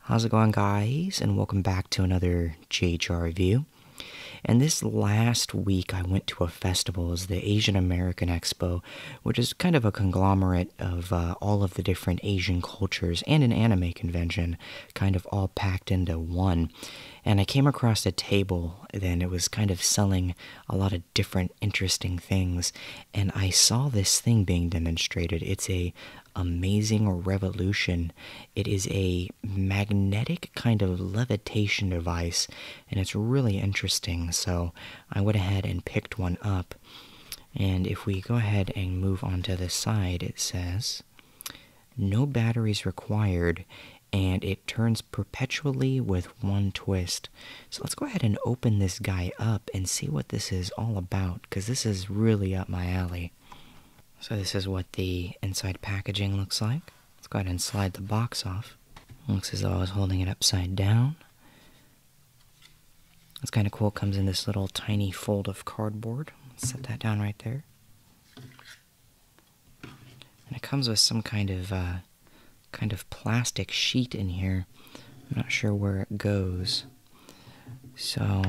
How's it going guys and welcome back to another JHR review. And this last week I went to a festival, is the Asian American Expo, which is kind of a conglomerate of uh, all of the different Asian cultures and an anime convention, kind of all packed into one. And I came across a table then it was kind of selling a lot of different interesting things and i saw this thing being demonstrated it's a amazing revolution it is a magnetic kind of levitation device and it's really interesting so i went ahead and picked one up and if we go ahead and move on to the side it says no batteries required and it turns perpetually with one twist so let's go ahead and open this guy up and see what this is all about, because this is really up my alley. So, this is what the inside packaging looks like. Let's go ahead and slide the box off. Looks as though I was holding it upside down. It's kind of cool, it comes in this little tiny fold of cardboard. Let's set that down right there. And it comes with some kind of uh, kind of plastic sheet in here. I'm not sure where it goes. So,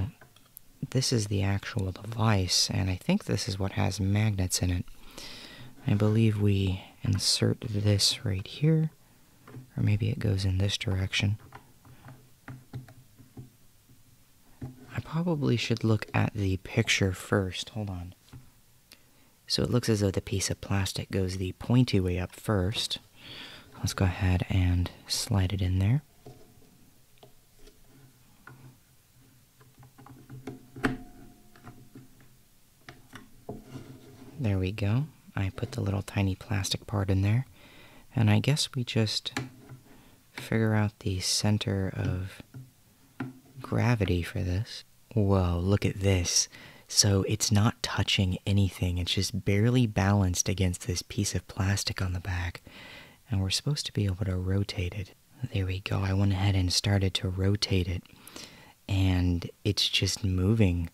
this is the actual device, and I think this is what has magnets in it. I believe we insert this right here, or maybe it goes in this direction. I probably should look at the picture first. Hold on. So it looks as though the piece of plastic goes the pointy way up first. Let's go ahead and slide it in there. There we go. I put the little tiny plastic part in there. And I guess we just figure out the center of gravity for this. Whoa, look at this. So it's not touching anything. It's just barely balanced against this piece of plastic on the back. And we're supposed to be able to rotate it. There we go. I went ahead and started to rotate it. And it's just moving.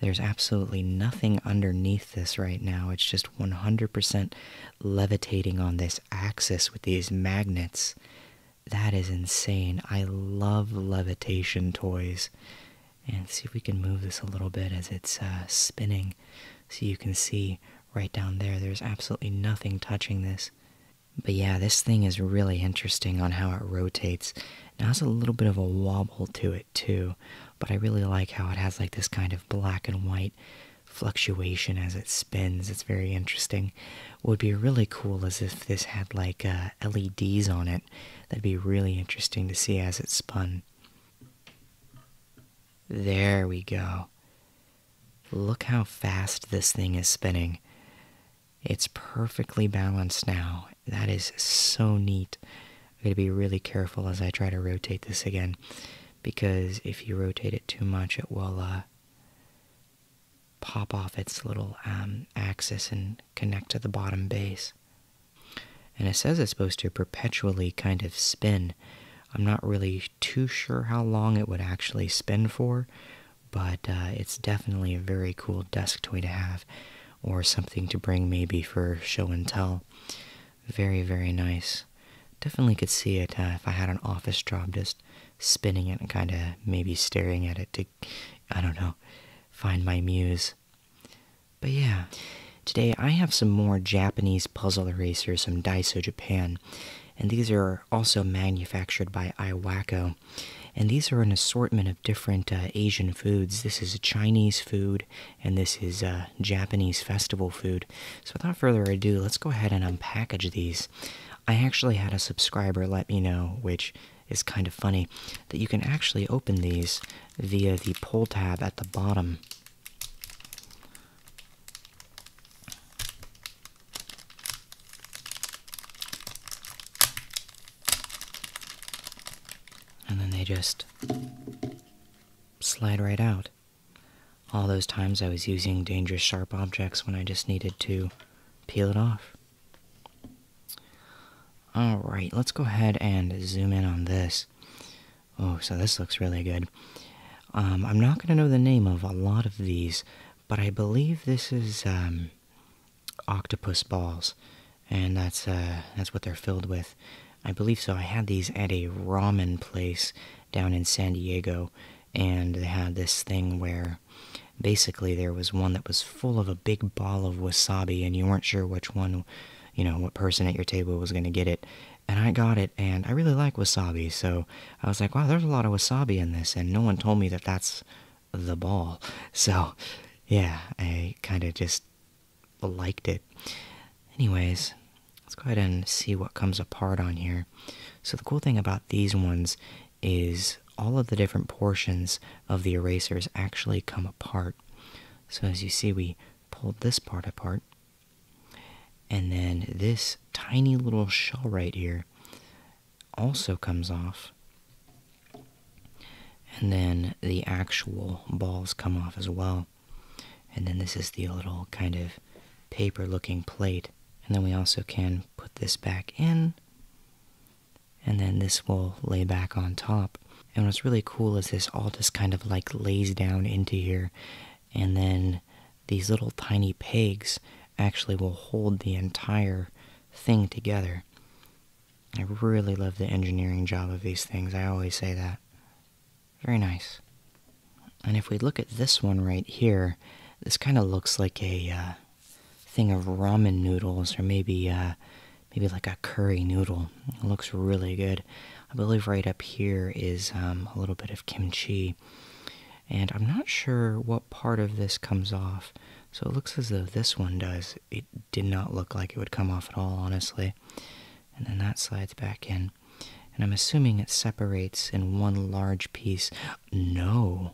There's absolutely nothing underneath this right now. It's just 100% levitating on this axis with these magnets. That is insane. I love levitation toys and see if we can move this a little bit as it's uh, spinning. So you can see right down there, there's absolutely nothing touching this. But yeah, this thing is really interesting on how it rotates. Now it has a little bit of a wobble to it too, but I really like how it has like this kind of black and white fluctuation as it spins. It's very interesting. would be really cool as if this had like uh, LEDs on it That'd be really interesting to see as it spun. There we go. Look how fast this thing is spinning. It's perfectly balanced now. That is so neat. I'm going to be really careful as I try to rotate this again because if you rotate it too much, it will uh, pop off its little um, axis and connect to the bottom base. And it says it's supposed to perpetually kind of spin. I'm not really too sure how long it would actually spin for, but uh, it's definitely a very cool desk toy to have, or something to bring maybe for show and tell. Very, very nice. Definitely could see it uh, if I had an office job just spinning it and kind of maybe staring at it to, I don't know, find my muse. But yeah, today I have some more Japanese puzzle erasers from Daiso Japan, and these are also manufactured by Iwako. And these are an assortment of different uh, Asian foods. This is Chinese food, and this is uh, Japanese festival food. So without further ado, let's go ahead and unpackage these. I actually had a subscriber let me know, which is kind of funny that you can actually open these via the pull tab at the bottom. And then they just slide right out. All those times I was using dangerous sharp objects when I just needed to peel it off. All right, let's go ahead and zoom in on this. Oh, so this looks really good. Um, I'm not going to know the name of a lot of these, but I believe this is um, octopus balls, and that's uh, that's what they're filled with. I believe so. I had these at a ramen place down in San Diego, and they had this thing where basically there was one that was full of a big ball of wasabi and you weren't sure which one, you know, what person at your table was going to get it. And I got it and I really like wasabi, so I was like, wow, there's a lot of wasabi in this and no one told me that that's the ball. So, yeah, I kind of just liked it. Anyways, let's go ahead and see what comes apart on here. So the cool thing about these ones is all of the different portions of the erasers actually come apart. So, as you see, we pulled this part apart, and then this tiny little shell right here also comes off, and then the actual balls come off as well. And then this is the little kind of paper looking plate. And then we also can put this back in and then this will lay back on top. And what's really cool is this all just kind of like lays down into here, and then these little tiny pegs actually will hold the entire thing together. I really love the engineering job of these things, I always say that. Very nice. And if we look at this one right here, this kind of looks like a uh, thing of ramen noodles, or maybe uh, maybe like a curry noodle. It looks really good. I believe right up here is um, a little bit of kimchi. And I'm not sure what part of this comes off. So it looks as though this one does. It did not look like it would come off at all, honestly. And then that slides back in. And I'm assuming it separates in one large piece. No!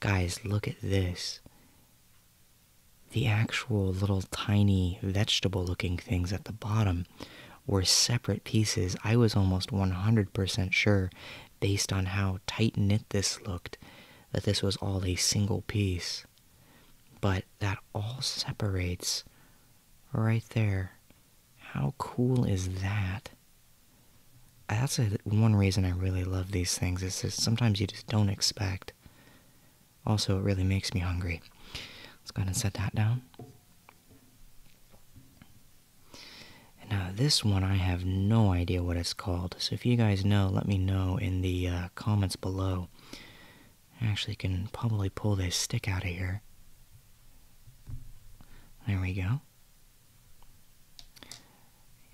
Guys, look at this the actual little tiny vegetable looking things at the bottom were separate pieces. I was almost 100% sure, based on how tight knit this looked, that this was all a single piece. But that all separates right there. How cool is that? That's one reason I really love these things, is that sometimes you just don't expect also, it really makes me hungry. Let's go ahead and set that down. now, this one I have no idea what it's called. So, if you guys know, let me know in the uh, comments below. I actually can probably pull this stick out of here. There we go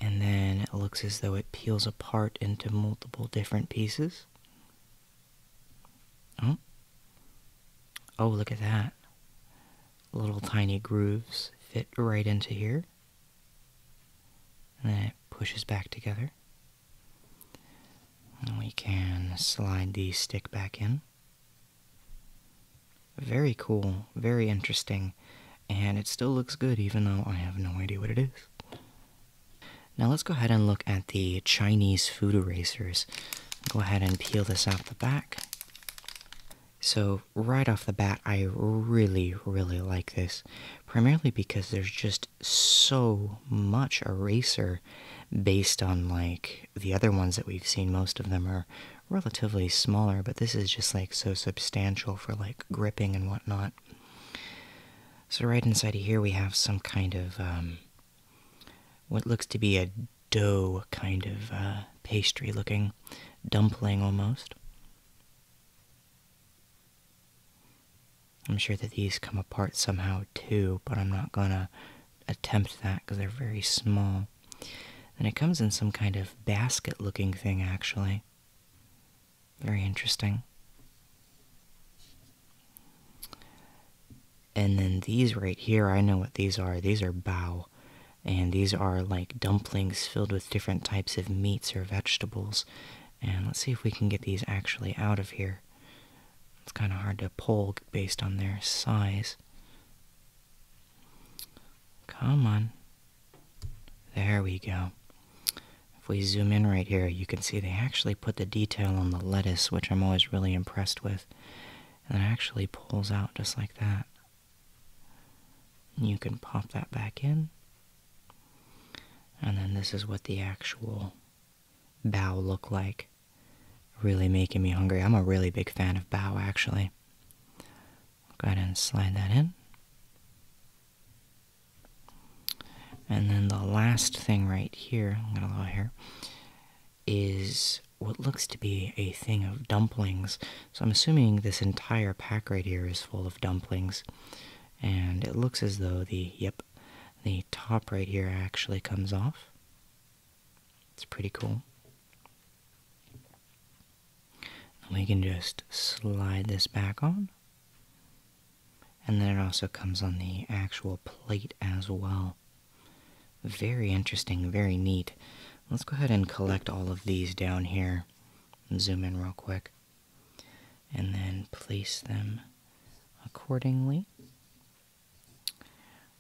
and then it looks as though it peels apart into multiple different pieces. Oh, oh look at that. Little tiny grooves fit right into here. And then it pushes back together. And we can slide the stick back in. Very cool, very interesting, and it still looks good even though I have no idea what it is. Now let's go ahead and look at the Chinese food erasers. Go ahead and peel this out the back. So right off the bat, I really, really like this, primarily because there's just so much eraser based on like the other ones that we've seen. Most of them are relatively smaller, but this is just like so substantial for like gripping and whatnot. So, right inside of here, we have some kind of um, what looks to be a dough kind of uh, pastry looking dumpling almost. I'm sure that these come apart somehow too, but I'm not gonna attempt that because they're very small. And it comes in some kind of basket looking thing actually. Very interesting. And then these right here, I know what these are. These are bao. And these are like dumplings filled with different types of meats or vegetables. And let's see if we can get these actually out of here. It's kind of hard to pull based on their size. Come on. There we go. If we zoom in right here, you can see they actually put the detail on the lettuce, which I'm always really impressed with. And it actually pulls out just like that. You can pop that back in. And then this is what the actual bow look like. Really making me hungry. I'm a really big fan of bow, actually. Go ahead and slide that in. And then the last thing right here, I'm gonna allow here, is what looks to be a thing of dumplings. So I'm assuming this entire pack right here is full of dumplings. And it looks as though the, yep, the top right here actually comes off. It's pretty cool. we can just slide this back on and then it also comes on the actual plate as well. Very interesting, very neat. Let's go ahead and collect all of these down here. Zoom in real quick. And then place them accordingly.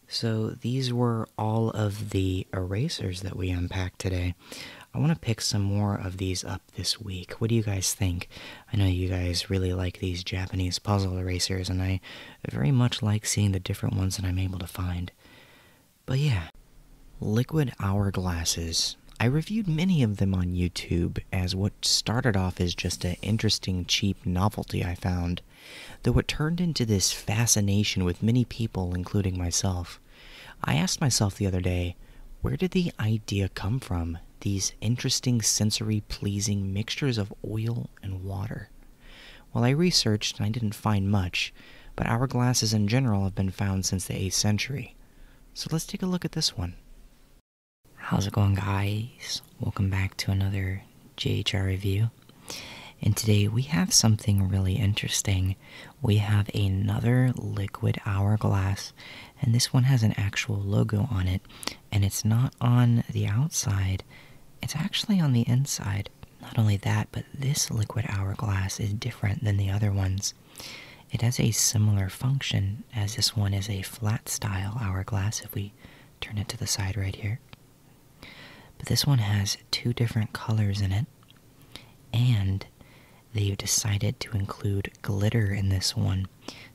So these were all of the erasers that we unpacked today. I want to pick some more of these up this week. What do you guys think? I know you guys really like these Japanese puzzle erasers, and I very much like seeing the different ones that I'm able to find. But yeah, liquid hourglasses. I reviewed many of them on YouTube as what started off as just an interesting, cheap novelty I found, though it turned into this fascination with many people, including myself. I asked myself the other day, where did the idea come from? These interesting, sensory pleasing mixtures of oil and water. Well, I researched and I didn't find much, but hourglasses in general have been found since the 8th century. So let's take a look at this one. How's it going, guys? Welcome back to another JHR review. And today we have something really interesting. We have another liquid hourglass and this one has an actual logo on it, and it's not on the outside, it's actually on the inside. Not only that, but this liquid hourglass is different than the other ones. It has a similar function, as this one is a flat style hourglass if we turn it to the side right here. But this one has two different colors in it, and they've decided to include glitter in this one.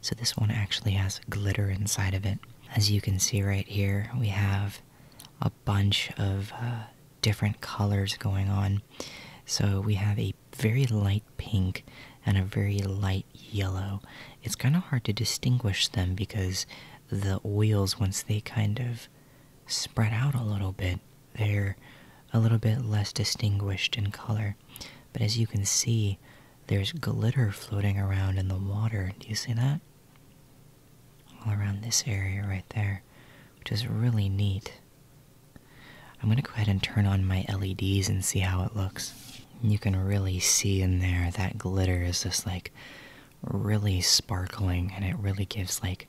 So this one actually has glitter inside of it. As you can see right here, we have a bunch of uh, different colors going on. So we have a very light pink and a very light yellow. It's kind of hard to distinguish them because the oils, once they kind of spread out a little bit, they're a little bit less distinguished in color. But as you can see, there's glitter floating around in the water. Do you see that? All around this area right there, which is really neat. I'm going to go ahead and turn on my LEDs and see how it looks. You can really see in there that glitter is just like really sparkling and it really gives like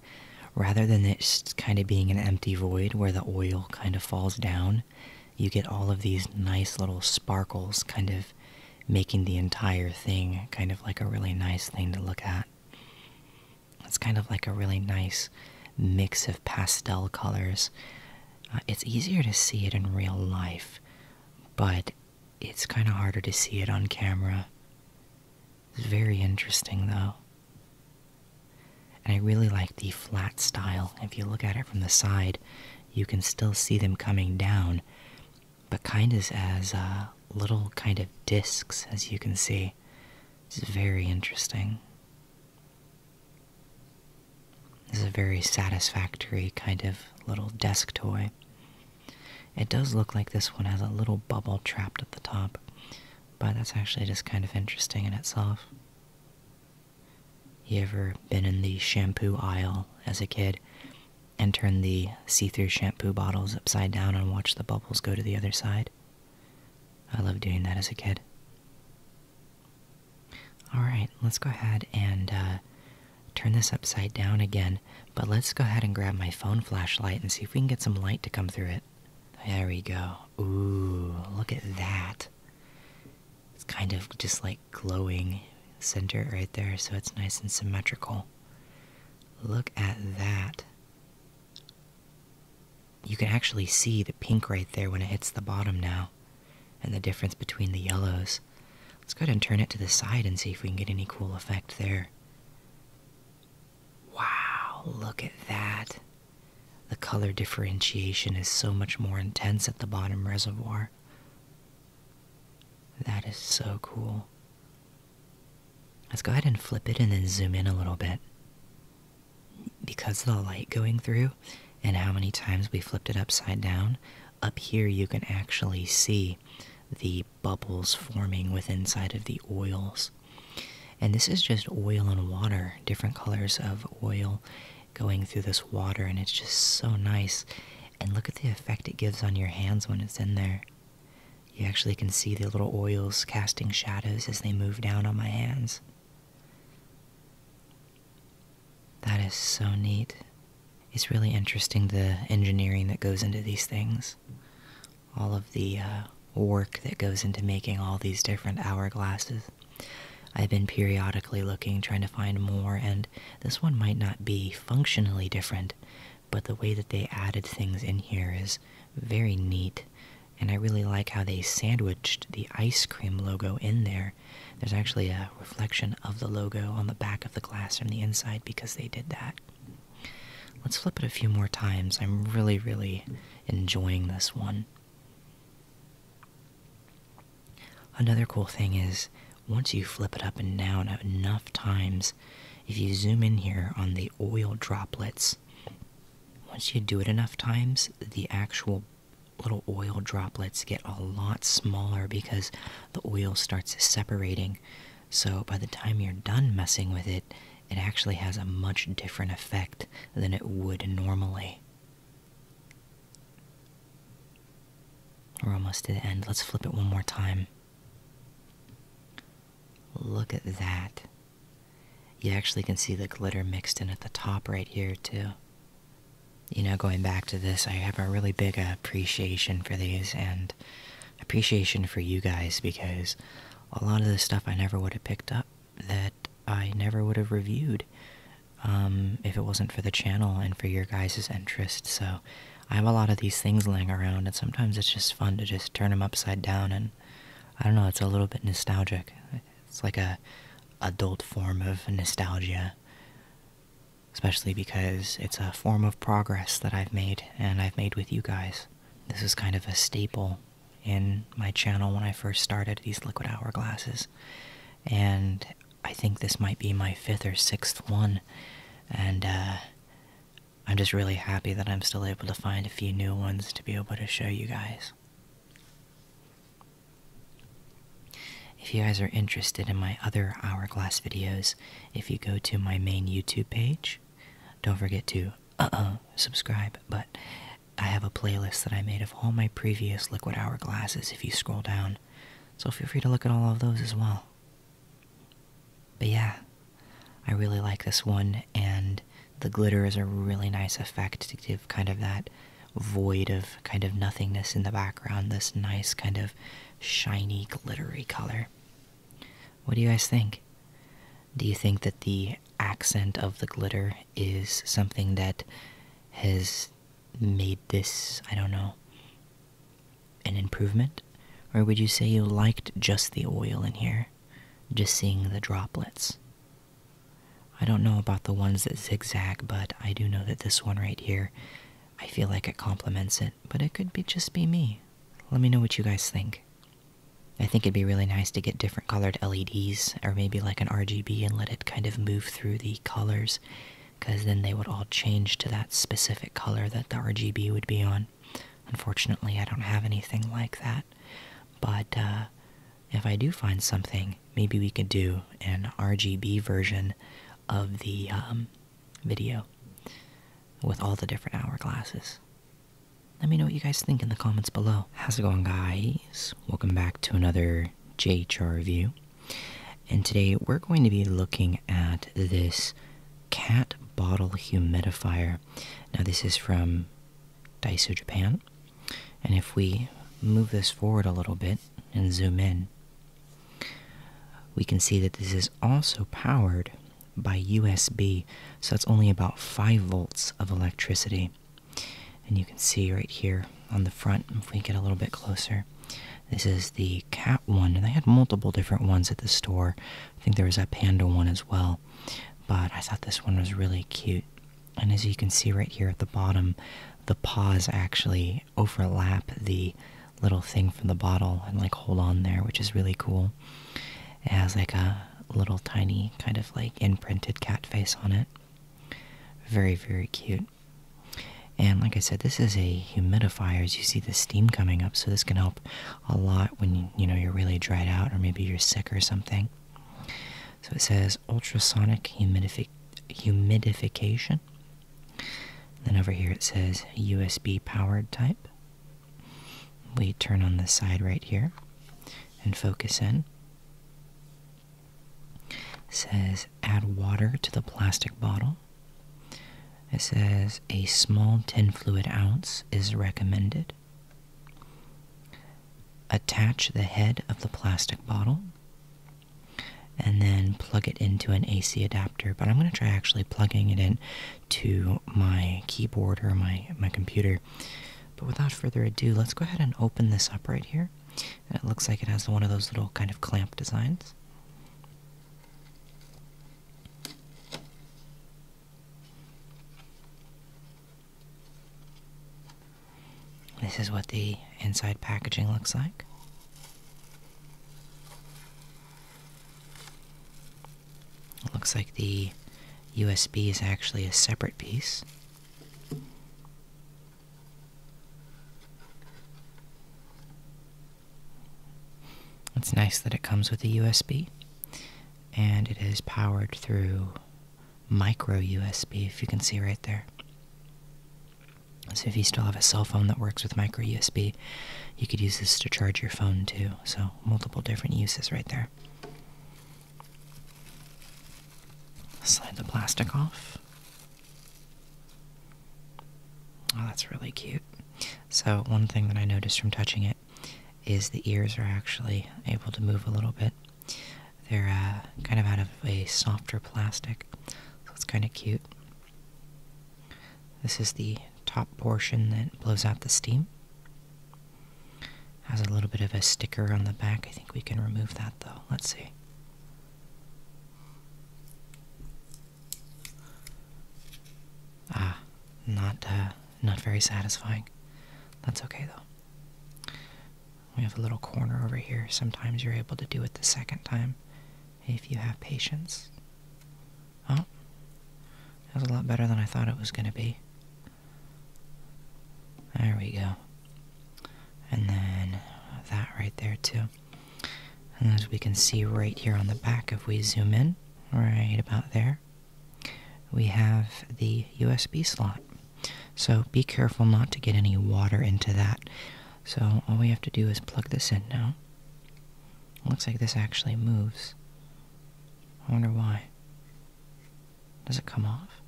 rather than it kind of being an empty void where the oil kind of falls down, you get all of these nice little sparkles kind of making the entire thing kind of like a really nice thing to look at. It's kind of like a really nice mix of pastel colors. Uh, it's easier to see it in real life, but it's kind of harder to see it on camera. It's very interesting though. And I really like the flat style. If you look at it from the side, you can still see them coming down, but kind of as uh, little kind of discs, as you can see. It's very interesting. This is a very satisfactory kind of little desk toy. It does look like this one has a little bubble trapped at the top, but that's actually just kind of interesting in itself. You ever been in the shampoo aisle as a kid and turned the see through shampoo bottles upside down and watched the bubbles go to the other side? I loved doing that as a kid. Alright, let's go ahead and uh, turn this upside down again, but let's go ahead and grab my phone flashlight and see if we can get some light to come through it. There we go. Ooh, look at that. It's kind of just like glowing center right there, so it's nice and symmetrical. Look at that. You can actually see the pink right there when it hits the bottom now, and the difference between the yellows. Let's go ahead and turn it to the side and see if we can get any cool effect there. Wow, look at that. The color differentiation is so much more intense at the bottom reservoir. That is so cool. Let's go ahead and flip it and then zoom in a little bit. Because of the light going through and how many times we flipped it upside down, up here you can actually see the bubbles forming within side of the oils. And this is just oil and water, different colors of oil going through this water, and it's just so nice. And look at the effect it gives on your hands when it's in there. You actually can see the little oils casting shadows as they move down on my hands. That is so neat. It's really interesting the engineering that goes into these things. All of the uh, work that goes into making all these different hourglasses. I've been periodically looking, trying to find more, and this one might not be functionally different, but the way that they added things in here is very neat. And I really like how they sandwiched the ice cream logo in there. There's actually a reflection of the logo on the back of the glass from the inside because they did that. Let's flip it a few more times. I'm really, really enjoying this one. Another cool thing is once you flip it up and down enough times, if you zoom in here on the oil droplets, once you do it enough times, the actual little oil droplets get a lot smaller because the oil starts separating. So by the time you're done messing with it, it actually has a much different effect than it would normally. We're almost to the end. Let's flip it one more time. Look at that. You actually can see the glitter mixed in at the top right here, too. You know, going back to this, I have a really big appreciation for these and appreciation for you guys because a lot of the stuff I never would have picked up that I never would have reviewed um, if it wasn't for the channel and for your guys' interest. So I have a lot of these things laying around, and sometimes it's just fun to just turn them upside down. And I don't know, it's a little bit nostalgic. It's like a adult form of nostalgia, especially because it's a form of progress that I've made and I've made with you guys. This is kind of a staple in my channel when I first started these liquid hourglasses, and I think this might be my fifth or sixth one, and uh, I'm just really happy that I'm still able to find a few new ones to be able to show you guys. If you guys are interested in my other hourglass videos, if you go to my main YouTube page, don't forget to uh uh, subscribe, but I have a playlist that I made of all my previous Liquid Hour glasses if you scroll down. So feel free to look at all of those as well. But yeah, I really like this one, and the glitter is a really nice effect to give kind of that void of kind of nothingness in the background, this nice kind of shiny, glittery color. What do you guys think? Do you think that the accent of the glitter is something that has made this, I don't know, an improvement? Or would you say you liked just the oil in here? Just seeing the droplets? I don't know about the ones that zigzag, but I do know that this one right here, I feel like it complements it, but it could be just be me. Let me know what you guys think. I think it'd be really nice to get different colored LEDs or maybe like an RGB and let it kind of move through the colors because then they would all change to that specific color that the RGB would be on. Unfortunately, I don't have anything like that, but uh, if I do find something, maybe we could do an RGB version of the um, video with all the different hourglasses. Let me know what you guys think in the comments below. How's it going, guys? Welcome back to another JHR review. And today we're going to be looking at this cat bottle humidifier. Now, this is from Daiso Japan. And if we move this forward a little bit and zoom in, we can see that this is also powered by USB, so it's only about 5 volts of electricity. And you can see right here on the front, if we get a little bit closer, this is the cat one. And they had multiple different ones at the store. I think there was a panda one as well. But I thought this one was really cute. And as you can see right here at the bottom, the paws actually overlap the little thing from the bottle and like hold on there, which is really cool. It has like a little tiny kind of like imprinted cat face on it. Very, very cute. And like I said, this is a humidifier as you see the steam coming up, so this can help a lot when you, you know you're really dried out or maybe you're sick or something. So it says ultrasonic humidification. Then over here it says USB powered type. We turn on the side right here and focus in says add water to the plastic bottle. It says a small ten fluid ounce is recommended. Attach the head of the plastic bottle and then plug it into an AC adapter. But I'm going to try actually plugging it in to my keyboard or my, my computer but without further ado, let's go ahead and open this up right here. it looks like it has one of those little kind of clamp designs. This is what the inside packaging looks like. It looks like the USB is actually a separate piece. It's nice that it comes with a USB and it is powered through micro USB, if you can see right there. So if you still have a cell phone that works with micro USB, you could use this to charge your phone too. So multiple different uses right there. Slide the plastic off. Oh, that's really cute. So, one thing that I noticed from touching it is the ears are actually able to move a little bit. They're uh, kind of out of a softer plastic, so it's kind of cute. This is the top portion that blows out the steam. Has a little bit of a sticker on the back. I think we can remove that though. Let's see. Ah, not uh, not very satisfying. That's okay though. We have a little corner over here. Sometimes you're able to do it the second time if you have patience. Oh, that's a lot better than I thought it was going to be. There we go. And then that right there too. And as we can see right here on the back, if we zoom in, right about there, we have the USB slot. So be careful not to get any water into that. So all we have to do is plug this in now. Looks like this actually moves. I wonder why. Does it come off?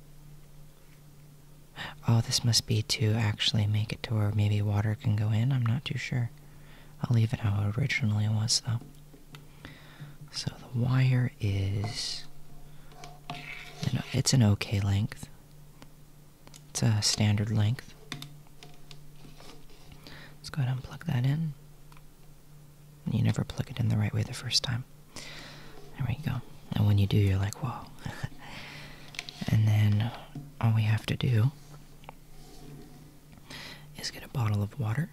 Oh, this must be to actually make it to where maybe water can go in. I'm not too sure. I'll leave it how it originally was, though. So the wire is. It's an okay length, it's a standard length. Let's go ahead and plug that in you never plug it in the right way the first time. There we go. And when you do, you're like, whoa. and then all we have to do is get a bottle of water.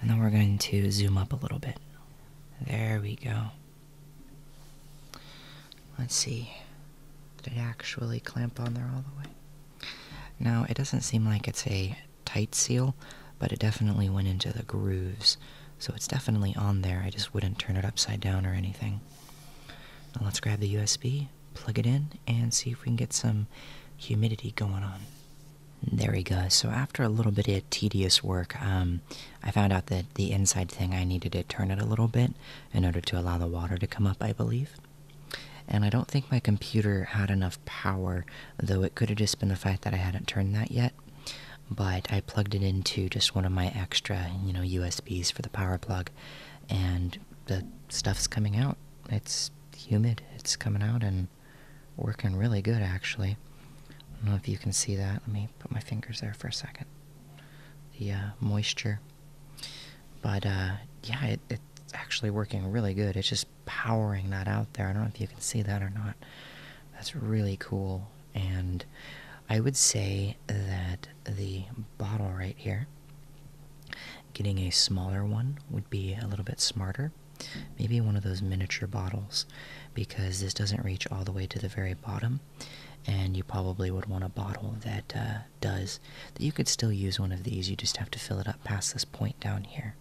And then we're going to zoom up a little bit. There we go. Let's see. Did it actually clamp on there all the way? Now it doesn't seem like it's a tight seal, but it definitely went into the grooves so it's definitely on there. I just wouldn't turn it upside down or anything. Now let's grab the USB, plug it in, and see if we can get some humidity going on. There we go. So after a little bit of tedious work, um, I found out that the inside thing, I needed to turn it a little bit in order to allow the water to come up, I believe. And I don't think my computer had enough power, though it could have just been the fact that I hadn't turned that yet but I plugged it into just one of my extra, you know, USBs for the power plug, and the stuff's coming out. It's humid, it's coming out and working really good actually. I don't know if you can see that. Let me put my fingers there for a second. The uh, moisture. But uh, yeah, it's actually working really good. It's just powering that out there. I don't know if you can see that or not. That's really cool. And I would say that the bottle right here, getting a smaller one would be a little bit smarter. Maybe one of those miniature bottles because this doesn't reach all the way to the very bottom. And you probably would want a bottle that uh, does. That you could still use one of these, you just have to fill it up past this point down here.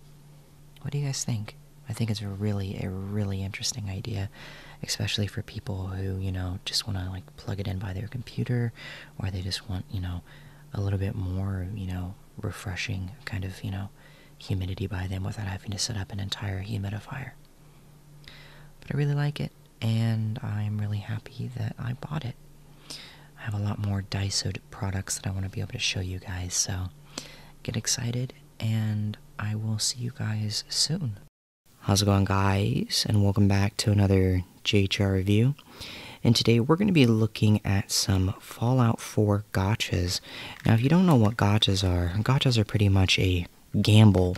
What do you guys think? I think it's a really, a really interesting idea, especially for people who, you know, just want to like plug it in by their computer or they just want, you know, a little bit more, you know, refreshing kind of, you know, humidity by them without having to set up an entire humidifier. But I really like it and I'm really happy that I bought it. I have a lot more Daiso products that I want to be able to show you guys, so get excited and I will see you guys soon. How's it going, guys? And welcome back to another JHR review. And today we're going to be looking at some Fallout 4 gotchas. Now, if you don't know what gotchas are, gotchas are pretty much a gamble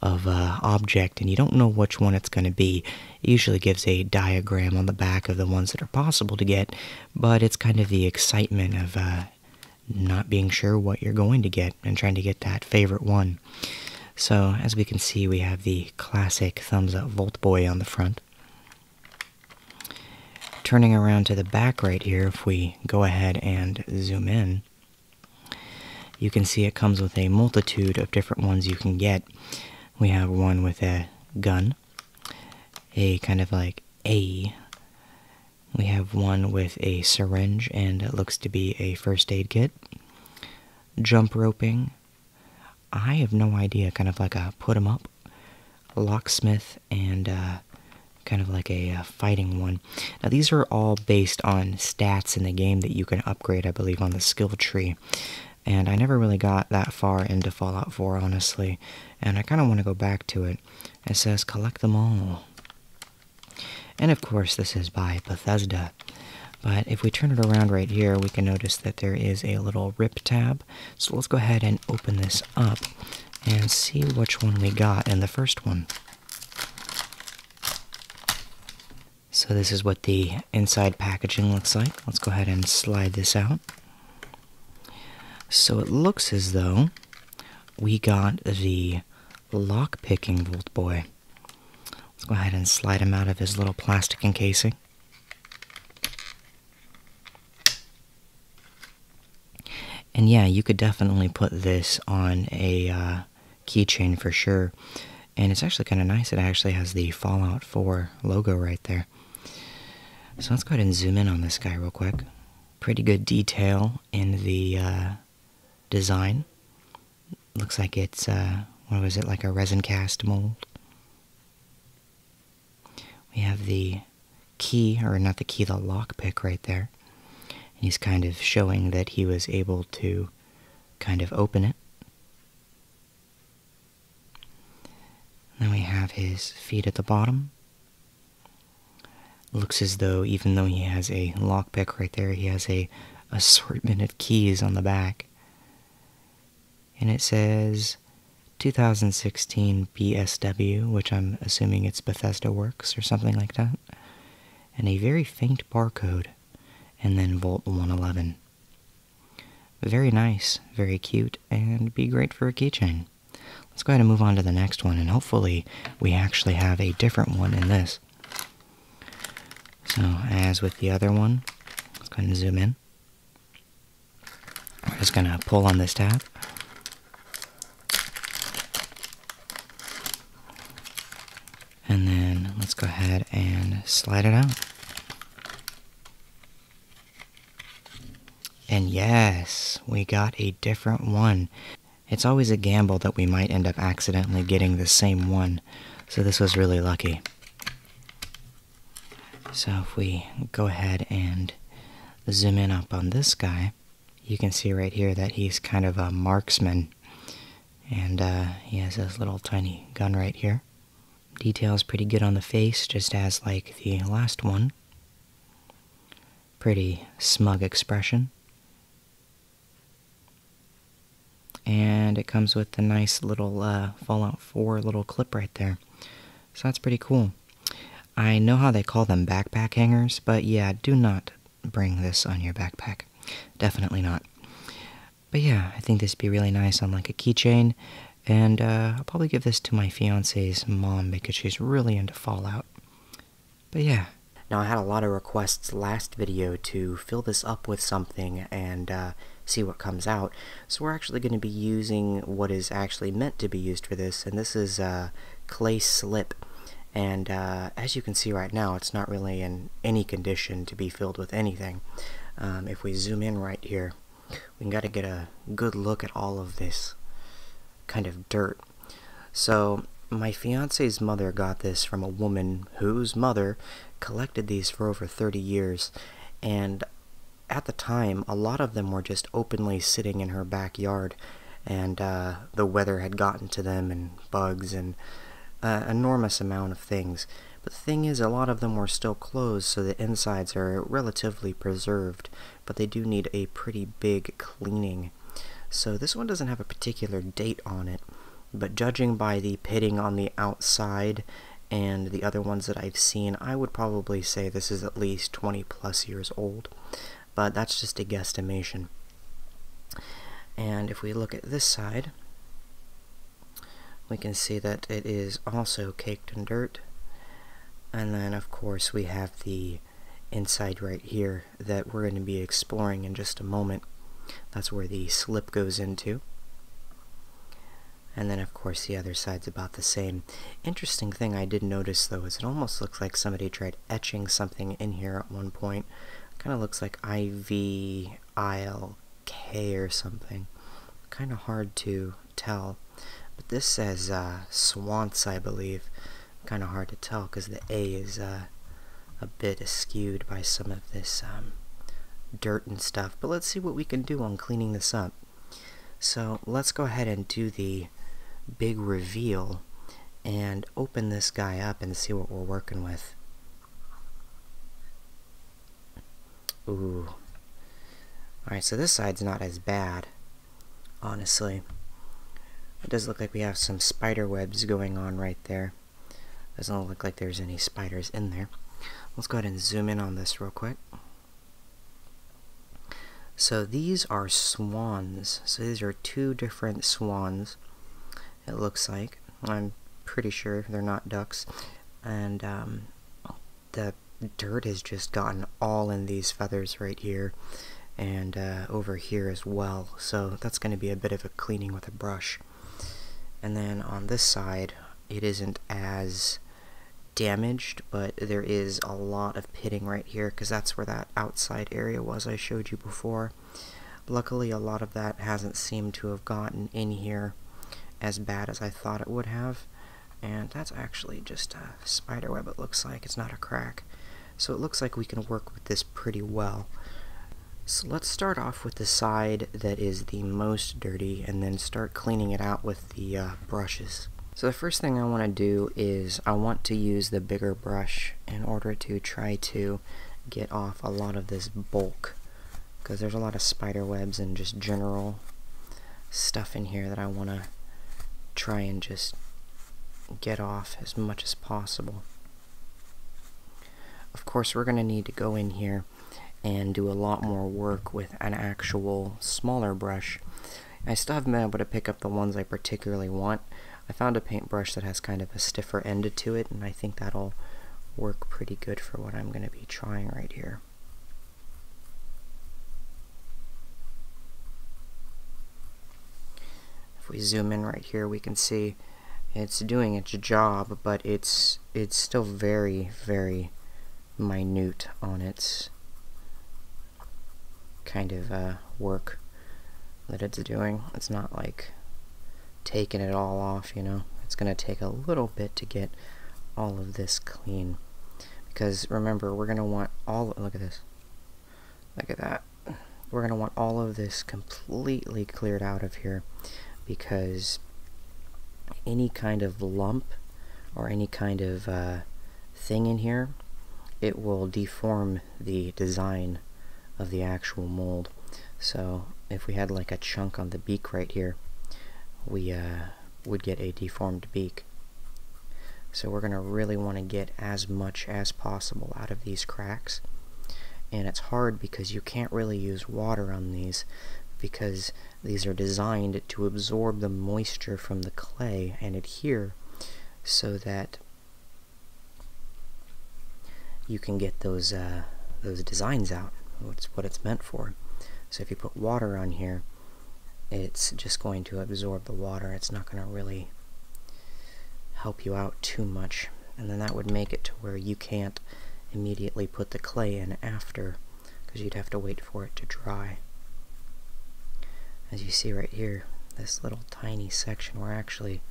of a uh, object and you don't know which one it's going to be. usually gives a diagram on the back of the ones that are possible to get, but it's kind of the excitement of uh, not being sure what you're going to get and trying to get that favorite one. So, as we can see, we have the classic thumbs up Volt Boy on the front. Turning around to the back right here, if we go ahead and zoom in, you can see it comes with a multitude of different ones you can get. We have one with a gun, a kind of like a we have one with a syringe and it looks to be a first aid kit. Jump roping. I have no idea, kind of like a put put 'em up, locksmith, and uh, kind of like a uh, fighting one. Now, these are all based on stats in the game that you can upgrade, I believe, on the skill tree. And I never really got that far into Fallout 4, honestly. And I kind of want to go back to it it. says collect them all. And of course, this is by Bethesda. But if we turn it around right here, we can notice that there is a little rip tab. So let's go ahead and open this up and see which one we got in the first one. So this is what the inside packaging looks like. Let's go ahead and slide this out. So it looks as though we got the lockpicking picking Volt Boy. Let's go ahead and slide him out of his little plastic encasing. And yeah, you could definitely put this on a uh, keychain for sure. And it's actually kind of nice. It actually has the Fallout 4 logo right there. So let's go ahead and zoom in on this guy real quick pretty good detail in the uh, design. Looks like it's, uh, what was it, like a resin cast mold. We have the key, or not the key, the lockpick right there. And he's kind of showing that he was able to kind of open it. then we have his feet at the bottom, Looks as though, even though he has a lockpick right there, he has a assortment of keys on the back. And it says 2016 BSW, which I'm assuming it's Bethesda Works or something like that. And a very faint barcode. And then Volt 111. Very nice, very cute, and be great for a keychain. Let's go ahead and move on to the next one, and hopefully, we actually have a different one in this. So, as with the other one, let's go ahead and zoom in. We're just going to pull on this tab. And then let's go ahead and slide it out. And yes, we got a different one. It's always a gamble that we might end up accidentally getting the same one, so this was really lucky. So if we go ahead and zoom in up on this guy, you can see right here that he's kind of a marksman. And uh, he has this little tiny gun right here. Details pretty good on the face, just as like the last one pretty smug expression. And it comes with a nice little uh, Fallout 4 little clip right there. So that's pretty cool. I know how they call them backpack hangers, but yeah, do not bring this on your backpack. Definitely not. But yeah, I think this would be really nice on like a keychain. And uh, I'll probably give this to my fiance's mom because she's really into Fallout. But yeah. Now I had a lot of requests last video to fill this up with something and uh, see what comes out. So we're actually going to be using what is actually meant to be used for this, and this is uh, clay slip. And uh, as you can see right now, it's not really in any condition to be filled with anything. Um, if we zoom in right here, we can got to get a good look at all of this kind of dirt. So my fiance's mother got this from a woman whose mother collected these for over 30 years and at the time a lot of them were just openly sitting in her backyard and uh, the weather had gotten to them and bugs and uh, enormous amount of things but the thing is a lot of them were still closed so the insides are relatively preserved but they do need a pretty big cleaning. So this one doesn't have a particular date on it, but judging by the pitting on the outside and the other ones that I've seen, I would probably say this is at least 20 plus years old, but that's just a guesstimation. And if we look at this side, we can see that it is also caked in dirt. And then, of course, we have the inside right here that we're going to be exploring in just a moment. That's where the slip goes into. And then of course the other side's about the same. Interesting thing I did notice though is it almost looks like somebody tried etching something in here at one point. Kind of looks like IV ILK or something. Kind of hard to tell but this says uh, Swans, I believe. Kind of hard to tell because the A is uh, a bit askewed by some of this um, dirt and stuff. But let's see what we can do on cleaning this up. So let's go ahead and do the big reveal and open this guy up and see what we're working with. Ooh. Alright, so this side's not as bad honestly. It does look like we have some spider webs going on right there. Doesn't look like there's any spiders in there. Let's go ahead and zoom in on this real quick. So these are swans. So these are two different swans, it looks like. I'm pretty sure they're not ducks. And um, the dirt has just gotten all in these feathers right here and uh, over here as well. So that's going to be a bit of a cleaning with a brush. And then on this side, it isn't as damaged, but there is a lot of pitting right here because that's where that outside area was I showed you before. Luckily, a lot of that hasn't seemed to have gotten in here as bad as I thought it would have. And that's actually just a spider web it looks like. It's not a crack. So it looks like we can work with this pretty well. So let's start off with the side that is the most dirty and then start cleaning it out with the uh, brushes. So the first thing I want to do is I want to use the bigger brush in order to try to get off a lot of this bulk because there's a lot of spider webs and just general stuff in here that I want to try and just get off as much as possible. Of course, we're going to need to go in here and do a lot more work with an actual smaller brush. I still haven't been able to pick up the ones I particularly want. I found a paintbrush that has kind of a stiffer end to it, and I think that'll work pretty good for what I'm going to be trying right here. If we zoom in right here, we can see it's doing its job, but it's it's still very, very minute on its kind of uh, work that it's doing. It's not like taking it all off, you know. It's going to take a little bit to get all of this clean. Because remember, we're going to want all, look at this. Look at that. We're going to want all of this completely cleared out of here because any kind of lump or any kind of uh, thing in here, it will deform the design of the actual mold. So if we had like a chunk on the beak right here, we uh, would get a deformed beak. So we're going to really want to get as much as possible out of these cracks. And it's hard because you can't really use water on these because these are designed to absorb the moisture from the clay and adhere so that you can get those uh, those designs out. That's what it's meant for. So if you put water on here, it's just going to absorb the water. It's not going to really help you out too much. And then that would make it to where you can't immediately put the clay in after because you'd have to wait for it to dry. As you see right here, this little tiny section we're actually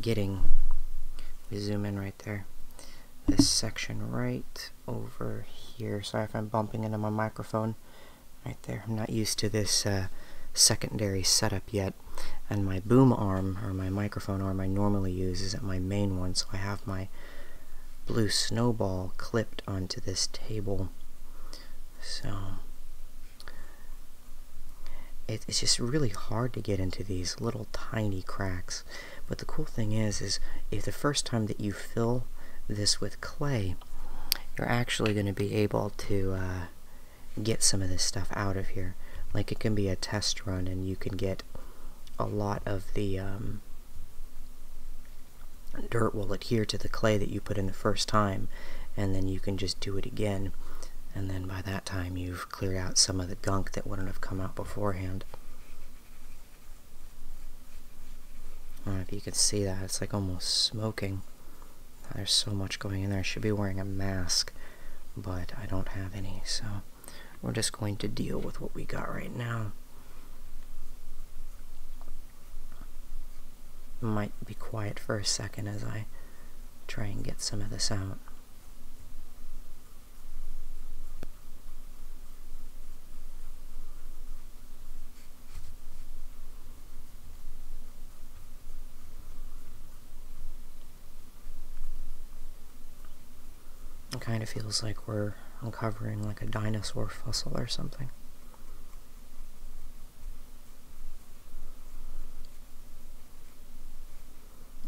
getting, we zoom in right there, this section right over here. Sorry if I'm bumping into my microphone right there. I'm not used to this uh, secondary setup yet, and my boom arm, or my microphone arm I normally use is my main one, so I have my blue snowball clipped onto this table. So, it's just really hard to get into these little tiny cracks. But the cool thing is, is if the first time that you fill this with clay, you're actually going to be able to uh, get some of this stuff out of here. Like it can be a test run and you can get a lot of the um, dirt will adhere to the clay that you put in the first time and then you can just do it again and then by that time you've cleared out some of the gunk that wouldn't have come out beforehand. I don't know if you can see that, it's like almost smoking. There's so much going in there. I should be wearing a mask, but I don't have any, so we're just going to deal with what we got right now. Might be quiet for a second as I try and get some of this out. It kind of feels like we're uncovering like a dinosaur fossil or something.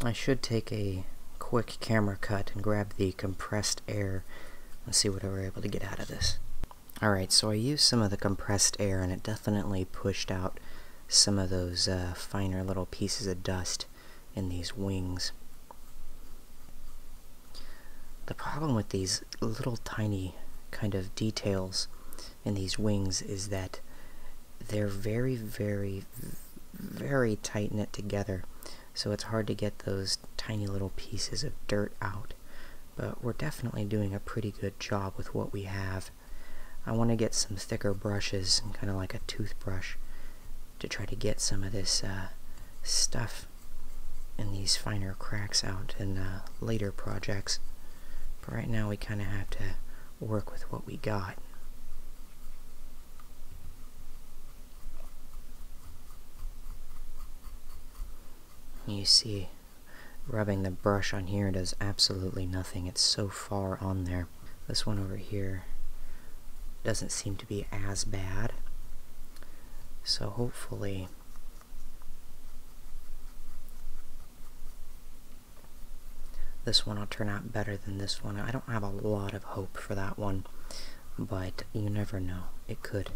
I should take a quick camera cut and grab the compressed air and see what we're able to get out of this. Alright, so I used some of the compressed air and it definitely pushed out some of those uh, finer little pieces of dust in these wings. The problem with these little tiny kind of details in these wings is that they're very, very, very tight knit together, so it's hard to get those tiny little pieces of dirt out but we're definitely doing a pretty good job with what we have. I want to get some thicker brushes, kind of like a toothbrush, to try to get some of this uh, stuff in these finer cracks out in later projects. But right now we kind of have to work with what we got. You see rubbing the brush on here does absolutely nothing. It's so far on there. This one over here doesn't seem to be as bad. So hopefully this one will turn out better than this one. I don't have a lot of hope for that one, but you never know. It could.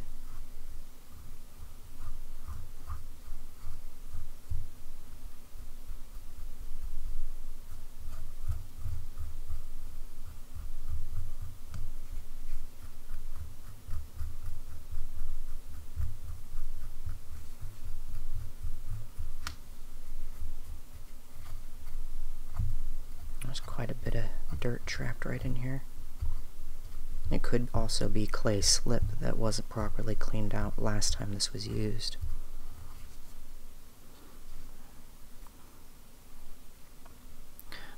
There's quite a bit of dirt trapped right in here. It could also be clay slip that wasn't properly cleaned out last time this was used.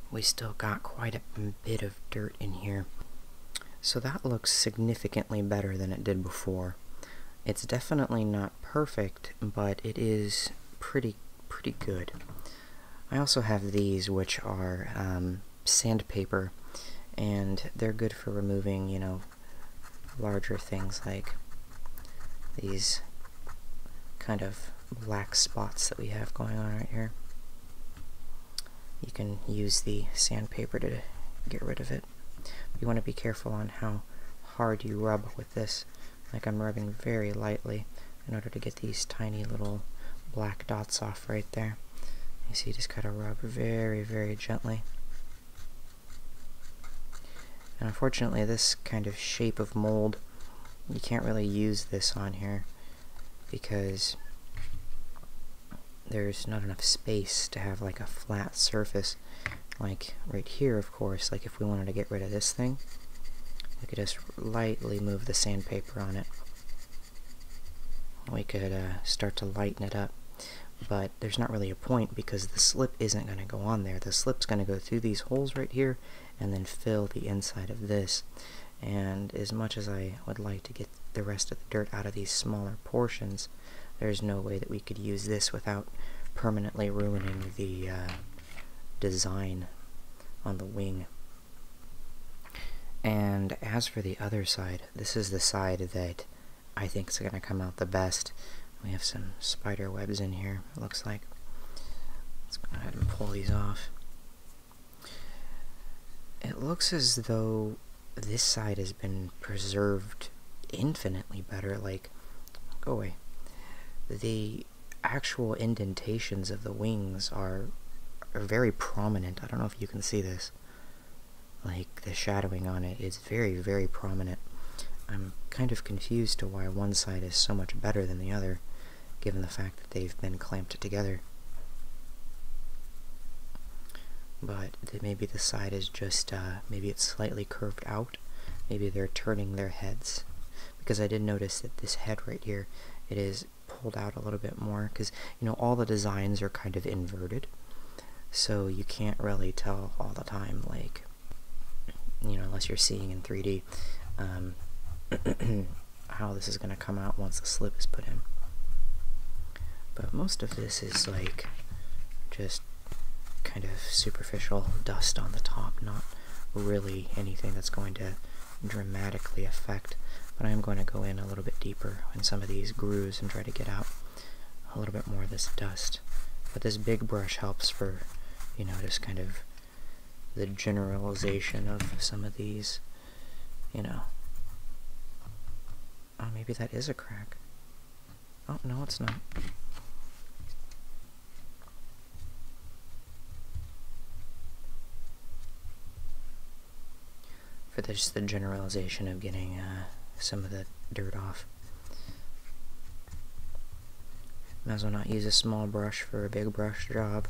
We still got quite a bit of dirt in here. So that looks significantly better than it did before. It's definitely not perfect, but it is pretty pretty good. I also have these, which are um, sandpaper, and they're good for removing, you know, larger things like these kind of black spots that we have going on right here. You can use the sandpaper to get rid of it. You want to be careful on how hard you rub with this. Like I'm rubbing very lightly in order to get these tiny little black dots off right there. You see, just kind of rub very, very gently. And unfortunately, this kind of shape of mold, you can't really use this on here because there's not enough space to have like a flat surface like right here of course like if we wanted to get rid of this thing we could just lightly move the sandpaper on it we could uh, start to lighten it up but there's not really a point because the slip isn't going to go on there the slip's going to go through these holes right here and then fill the inside of this and as much as I would like to get the rest of the dirt out of these smaller portions there's no way that we could use this without permanently ruining the uh, design on the wing and as for the other side, this is the side that I think is going to come out the best. We have some spider webs in here, it looks like. Let's go ahead and pull these off. It looks as though this side has been preserved infinitely better. Like, go away. The actual indentations of the wings are very prominent. I don't know if you can see this. Like, the shadowing on it is very, very prominent. I'm kind of confused to why one side is so much better than the other, given the fact that they've been clamped together. But maybe the side is just, uh, maybe it's slightly curved out. Maybe they're turning their heads. Because I did notice that this head right here, it is pulled out a little bit more because you know all the designs are kind of inverted so you can't really tell all the time like you know unless you're seeing in 3d um, how this is going to come out once the slip is put in but most of this is like just kind of superficial dust on the top not really anything that's going to dramatically affect, but I am going to go in a little bit deeper in some of these grooves and try to get out a little bit more of this dust. But this big brush helps for, you know, just kind of the generalization of some of these, you know. Oh, maybe that is a crack. Oh, no, it's not for just the generalization of getting uh, some of the dirt off. Might as well not use a small brush for a big brush job.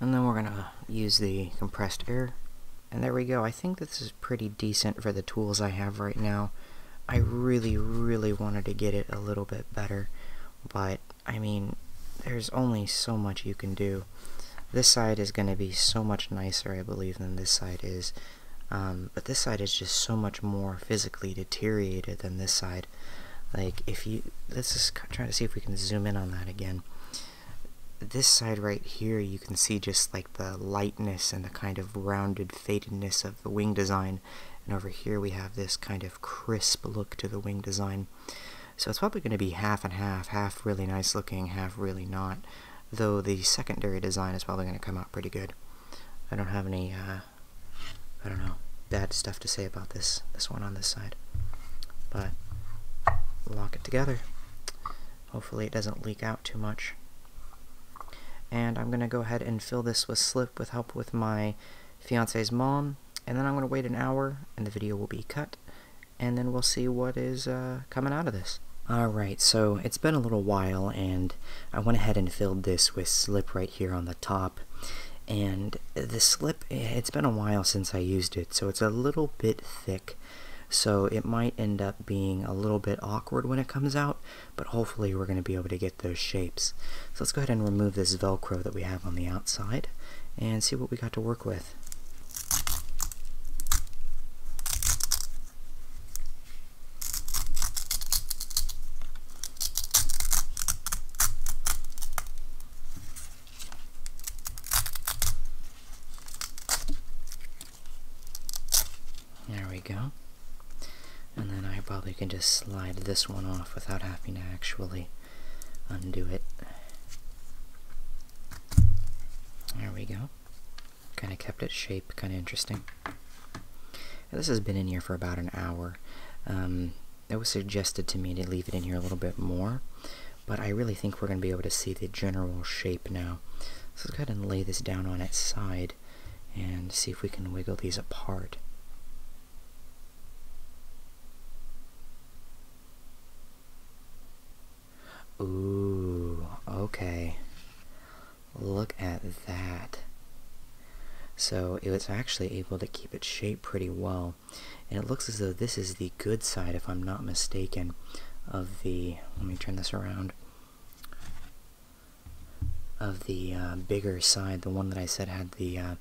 And then we're going to use the compressed air. And there we go. I think this is pretty decent for the tools I have right now. I really, really wanted to get it a little bit better, but I mean, there's only so much you can do. This side is going to be so much nicer, I believe, than this side is. Um, but this side is just so much more physically deteriorated than this side. Like, if you, let's just try to see if we can zoom in on that again. This side right here, you can see just like the lightness and the kind of rounded fadedness of the wing design. And over here we have this kind of crisp look to the wing design. So it's probably going to be half and half, half really nice looking, half really not. Though the secondary design is probably going to come out pretty good. I don't have any, uh, I don't know, bad stuff to say about this, this one on this side. But lock it together. Hopefully it doesn't leak out too much. And I'm going to go ahead and fill this with slip with help with my fiance's mom. And then I'm going to wait an hour and the video will be cut. And then we'll see what is uh, coming out of this. Alright, so it's been a little while and I went ahead and filled this with slip right here on the top. And the slip, it's been a while since I used it, so it's a little bit thick. So it might end up being a little bit awkward when it comes out, but hopefully we're going to be able to get those shapes. So let's go ahead and remove this Velcro that we have on the outside and see what we got to work with. There we go. And then I probably can just slide this one off without having to actually undo it. There we go. Kind of kept its shape, kind of interesting. this has been in here for about an hour. Um, it was suggested to me to leave it in here a little bit more, but I really think we're going to be able to see the general shape now. So let's go ahead and lay this down on its side and see if we can wiggle these apart. Ooh, okay. Look at that. So it was actually able to keep its shape pretty well. And it looks as though this is the good side, if I'm not mistaken, of the... Let me turn this around of the uh, bigger side, the one that I said had the uh,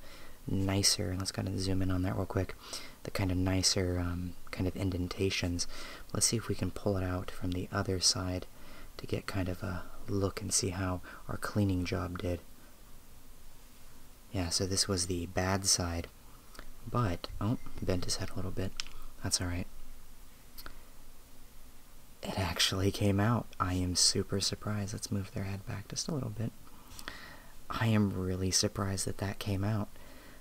nicer, let's kind of zoom in on that real quick, the kind of nicer um, kind of indentations. Let's see if we can pull it out from the other side to get kind of a look and see how our cleaning job did. Yeah, so this was the bad side, but, oh, bent his head a little bit, that's alright. It actually came out. I am super surprised. Let's move their head back just a little bit. I am really surprised that that came out.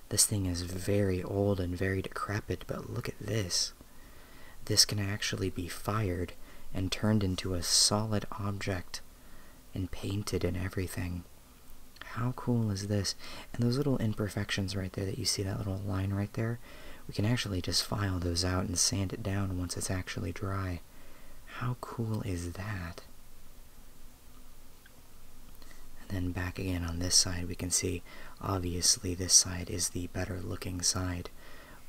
This thing is very old and very decrepit, but look at this. This can actually be fired and turned into a solid object and painted and everything. How cool is this? And those little imperfections right there that you see, that little line right there, we can actually just file those out and sand it down once it's actually dry. How cool is that? And then back again on this side, we can see obviously this side is the better looking side.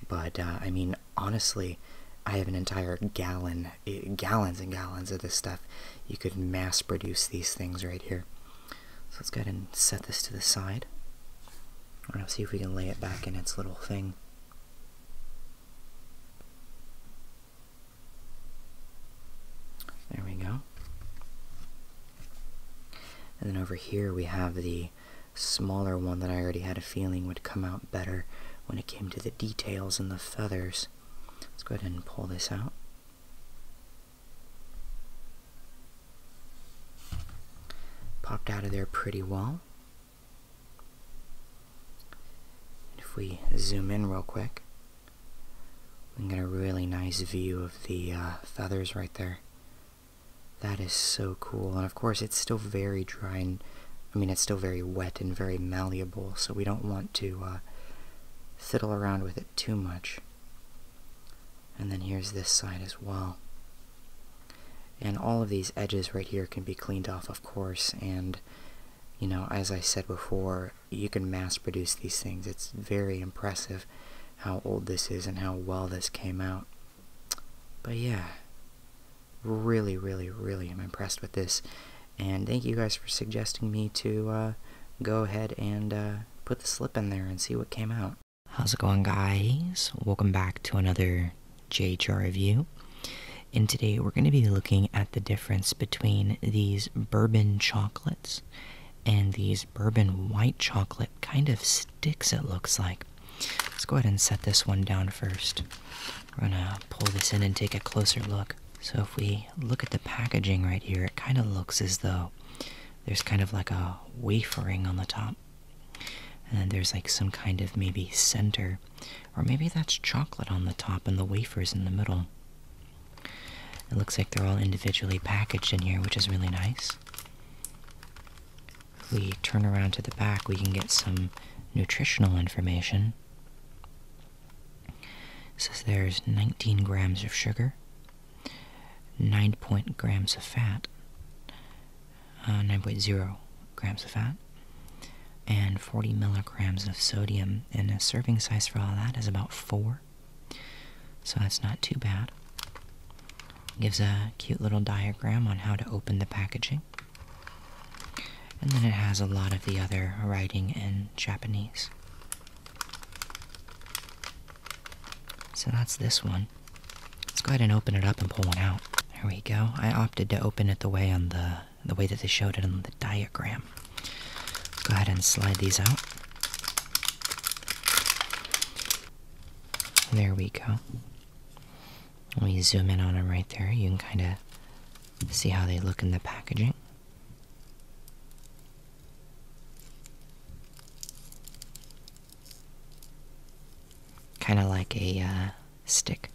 But uh, I mean, honestly, I have an entire gallon, eh, gallons and gallons of this stuff. You could mass produce these things right here. So let's go ahead and set this to the side. I want see if we can lay it back in its little thing. There we go. And then over here we have the smaller one that I already had a feeling would come out better when it came to the details and the feathers. Let's go ahead and pull this out. Popped out of there pretty well. if we zoom in real quick, we can get a really nice view of the uh, feathers right there. That is so cool. And of course, it's still very dry and I mean, it's still very wet and very malleable, so we don't want to uh, fiddle around with it too much and then here's this side as well. And all of these edges right here can be cleaned off, of course, and, you know, as I said before, you can mass produce these things. It's very impressive how old this is and how well this came out. But yeah, really, really, really i am impressed with this. And thank you guys for suggesting me to uh, go ahead and uh, put the slip in there and see what came out. How's it going guys? Welcome back to another JHR review. And today we're going to be looking at the difference between these bourbon chocolates and these bourbon white chocolate kind of sticks it looks like. Let's go ahead and set this one down first. We're going to pull this in and take a closer look. So if we look at the packaging right here, it kind of looks as though there's kind of like a wafering on the top. And then there's like some kind of maybe center, or maybe that's chocolate on the top and the wafers in the middle. It looks like they're all individually packaged in here, which is really nice. If we turn around to the back, we can get some nutritional information. says there's 19 grams of sugar, 9 grams of fat, uh, 9.0 grams of fat, and 40 milligrams of sodium. And the serving size for all that is about 4. So that's not too bad. Gives a cute little diagram on how to open the packaging. And then it has a lot of the other writing in Japanese. So that's this one. Let's go ahead and open it up and pull one out. There we go. I opted to open it the way on the the way that they showed it on the diagram. go ahead and slide these out. There we go. Let me zoom in on them right there, you can kind of see how they look in the packaging. Kind of like a uh, stick.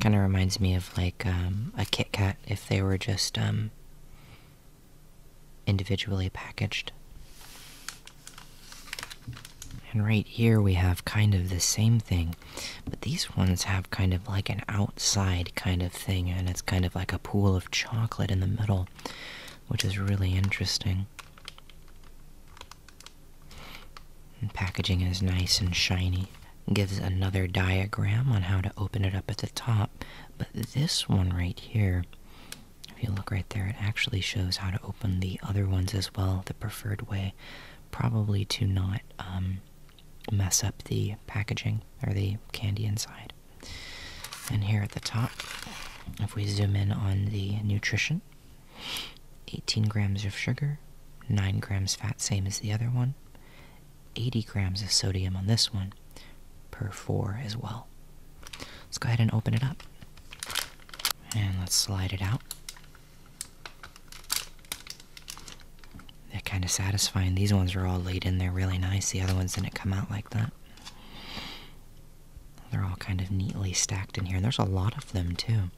Kind of reminds me of like um, a Kit Kat if they were just um, individually packaged. And right here we have kind of the same thing, but these ones have kind of like an outside kind of thing, and it's kind of like a pool of chocolate in the middle, which is really interesting. And packaging is nice and shiny. Gives another diagram on how to open it up at the top, but this one right here, if you look right there, it actually shows how to open the other ones as well, the preferred way, probably to not um, mess up the packaging or the candy inside. And here at the top, if we zoom in on the nutrition, 18 grams of sugar, 9 grams fat, same as the other one, 80 grams of sodium on this one, per 4 as well. Let's go ahead and open it up. And let's slide it out. They're kind of satisfying. These ones are all laid in there really nice. The other ones didn't come out like that. They're all kind of neatly stacked in here, there's a lot of them too.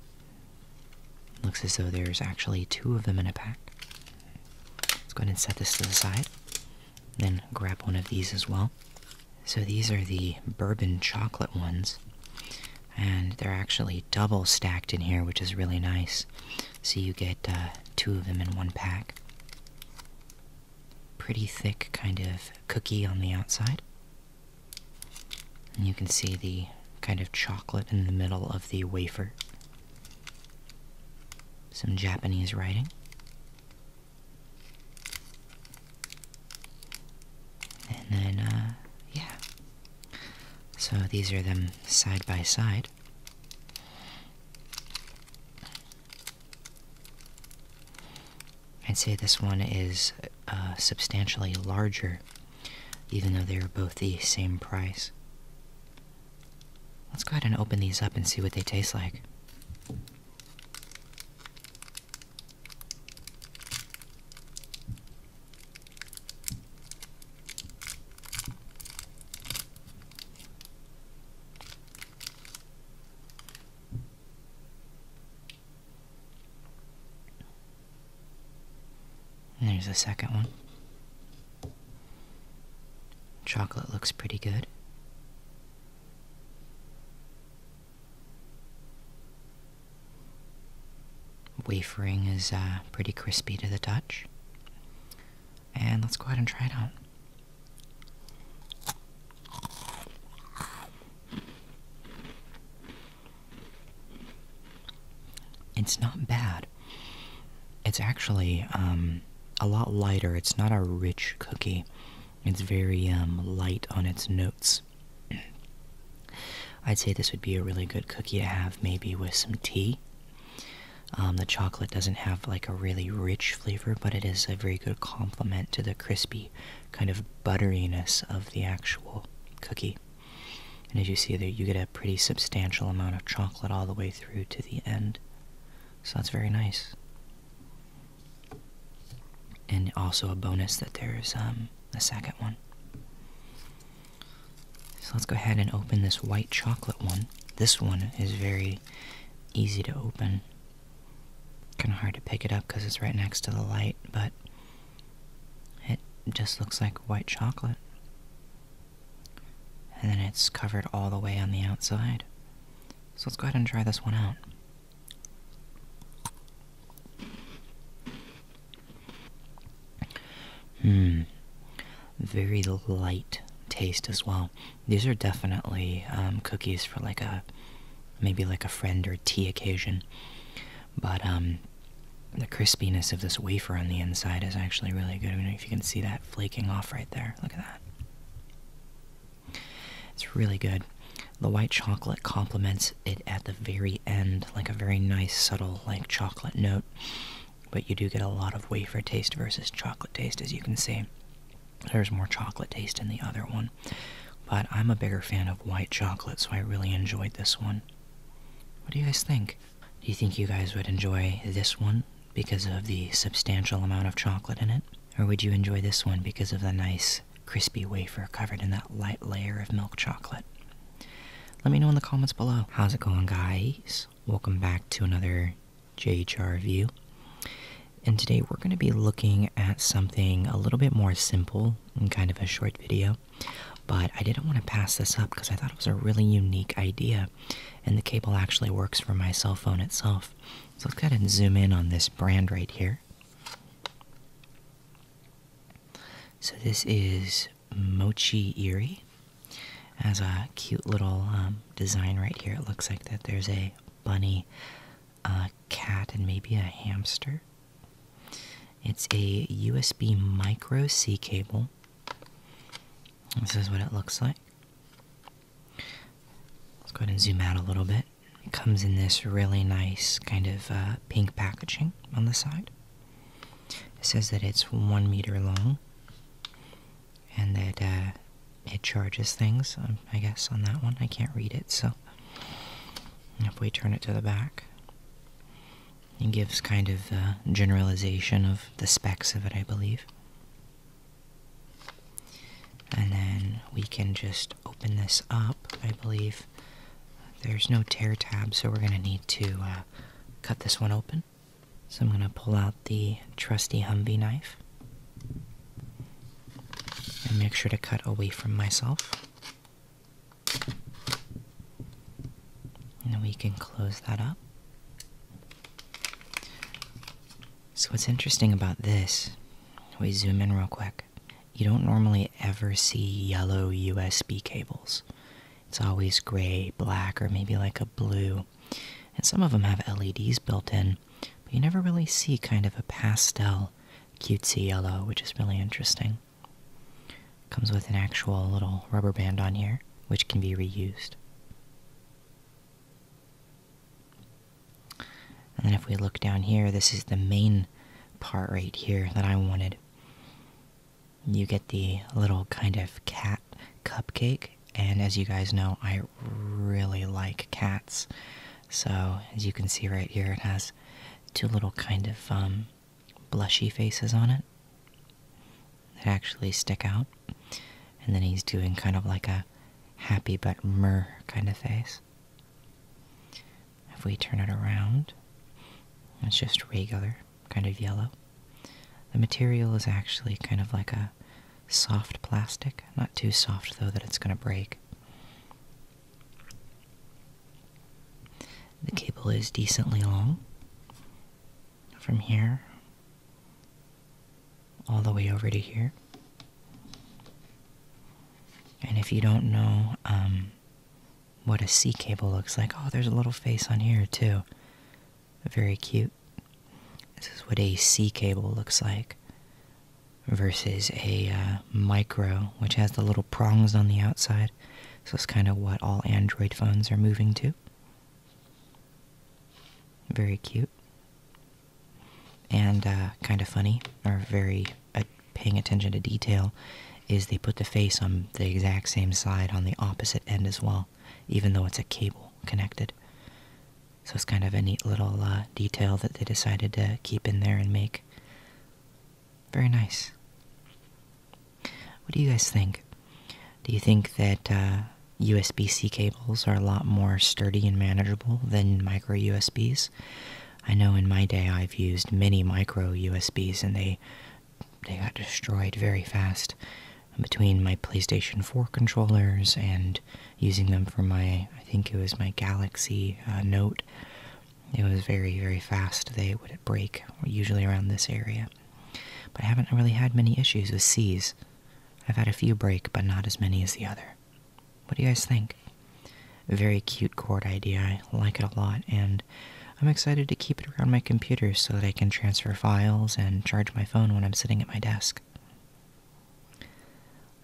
Looks as though there's actually two of them in a pack. Let's go ahead and set this to the side. Then grab one of these as well. So these are the bourbon chocolate ones. And they're actually double stacked in here, which is really nice. So you get uh, two of them in one pack pretty thick kind of cookie on the outside. And you can see the kind of chocolate in the middle of the wafer. Some Japanese writing. And then, uh, yeah. So these are them side by side. I'd say this one is uh, substantially larger, even though they are both the same price. Let's go ahead and open these up and see what they taste like. And there's a second one. Chocolate looks pretty good. Wafering is uh, pretty crispy to the touch. And let's go ahead and try it out. It's not bad. It's actually um, a lot lighter. It's not a rich cookie. It's very um, light on its notes. I'd say this would be a really good cookie to have maybe with some tea. Um, the chocolate doesn't have like a really rich flavor, but it is a very good complement to the crispy kind of butteriness of the actual cookie. And as you see there, you get a pretty substantial amount of chocolate all the way through to the end. So that's very nice. And also a bonus that there's um, a second one. So let's go ahead and open this white chocolate one. This one is very easy to open. Kind of hard to pick it up because it's right next to the light, but it just looks like white chocolate. And then it's covered all the way on the outside. So let's go ahead and try this one out. Hmm. Very light taste as well. These are definitely um, cookies for like a maybe like a friend or tea occasion. But um, the crispiness of this wafer on the inside is actually really good. I don't know if you can see that flaking off right there. Look at that. It's really good. The white chocolate complements it at the very end, like a very nice, subtle, like chocolate note. But you do get a lot of wafer taste versus chocolate taste, as you can see. There's more chocolate taste in the other one, but I'm a bigger fan of white chocolate, so I really enjoyed this one. What do you guys think? Do you think you guys would enjoy this one because of the substantial amount of chocolate in it? Or would you enjoy this one because of the nice crispy wafer covered in that light layer of milk chocolate? Let me know in the comments below. How's it going, guys? Welcome back to another JHR review. And today we're going to be looking at something a little bit more simple and kind of a short video. But I didn't want to pass this up because I thought it was a really unique idea. And the cable actually works for my cell phone itself. So let's go ahead and zoom in on this brand right here. So this is Mochi Erie. Has a cute little um, design right here. It looks like that there's a bunny a cat, and maybe a hamster. It's a USB micro C cable. This is what it looks like. Let's go ahead and zoom out a little bit. It comes in this really nice kind of uh, pink packaging on the side. It says that it's one meter long and that uh, it charges things, um, I guess, on that one. I can't read it, so if we turn it to the back, it gives kind of a generalization of the specs of it, I believe. And then we can just open this up, I believe. There's no tear tab, so we're going to need to uh, cut this one open. So I'm going to pull out the trusty Humvee knife. And make sure to cut away from myself. And we can close that up. So, what's interesting about this, we zoom in real quick. You don't normally ever see yellow USB cables. It's always gray, black, or maybe like a blue. And some of them have LEDs built in, but you never really see kind of a pastel cutesy yellow, which is really interesting. Comes with an actual little rubber band on here, which can be reused. And then if we look down here, this is the main part right here that I wanted. You get the little kind of cat cupcake, and as you guys know, I really like cats. So, as you can see right here, it has two little kind of um, blushy faces on it that actually stick out. And then he's doing kind of like a happy but myrrh kind of face. If we turn it around, it's just regular, kind of yellow. The material is actually kind of like a soft plastic, not too soft though that it's going to break. The cable is decently long from here all the way over to here. And if you don't know um, what a sea cable looks like, oh, there's a little face on here too. Very cute. This is what a sea cable looks like versus a uh, micro, which has the little prongs on the outside. So it's kind of what all Android phones are moving to. Very cute. And uh, kind of funny, or very uh, paying attention to detail, is they put the face on the exact same side on the opposite end as well, even though it's a cable connected. So it's kind of a neat little uh, detail that they decided to keep in there and make. Very nice. What do you guys think? Do you think that USB uh, C cables are a lot more sturdy and manageable than micro USBs? I know in my day I've used many micro USBs and they they got destroyed very fast. Between my PlayStation 4 controllers and using them for my, I think it was my Galaxy uh, Note. It was very, very fast. They would break, usually around this area. But I haven't really had many issues with C's. I've had a few break, but not as many as the other. What do you guys think? Very cute cord idea. I like it a lot, and I'm excited to keep it around my computer so that I can transfer files and charge my phone when I'm sitting at my desk.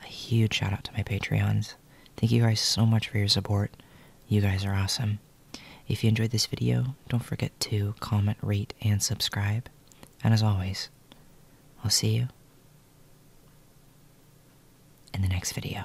A huge shout out to my Patreons. Thank you guys so much for your support. You guys are awesome. If you enjoyed this video, don't forget to comment, rate, and subscribe. And as always, I'll see you in the next video.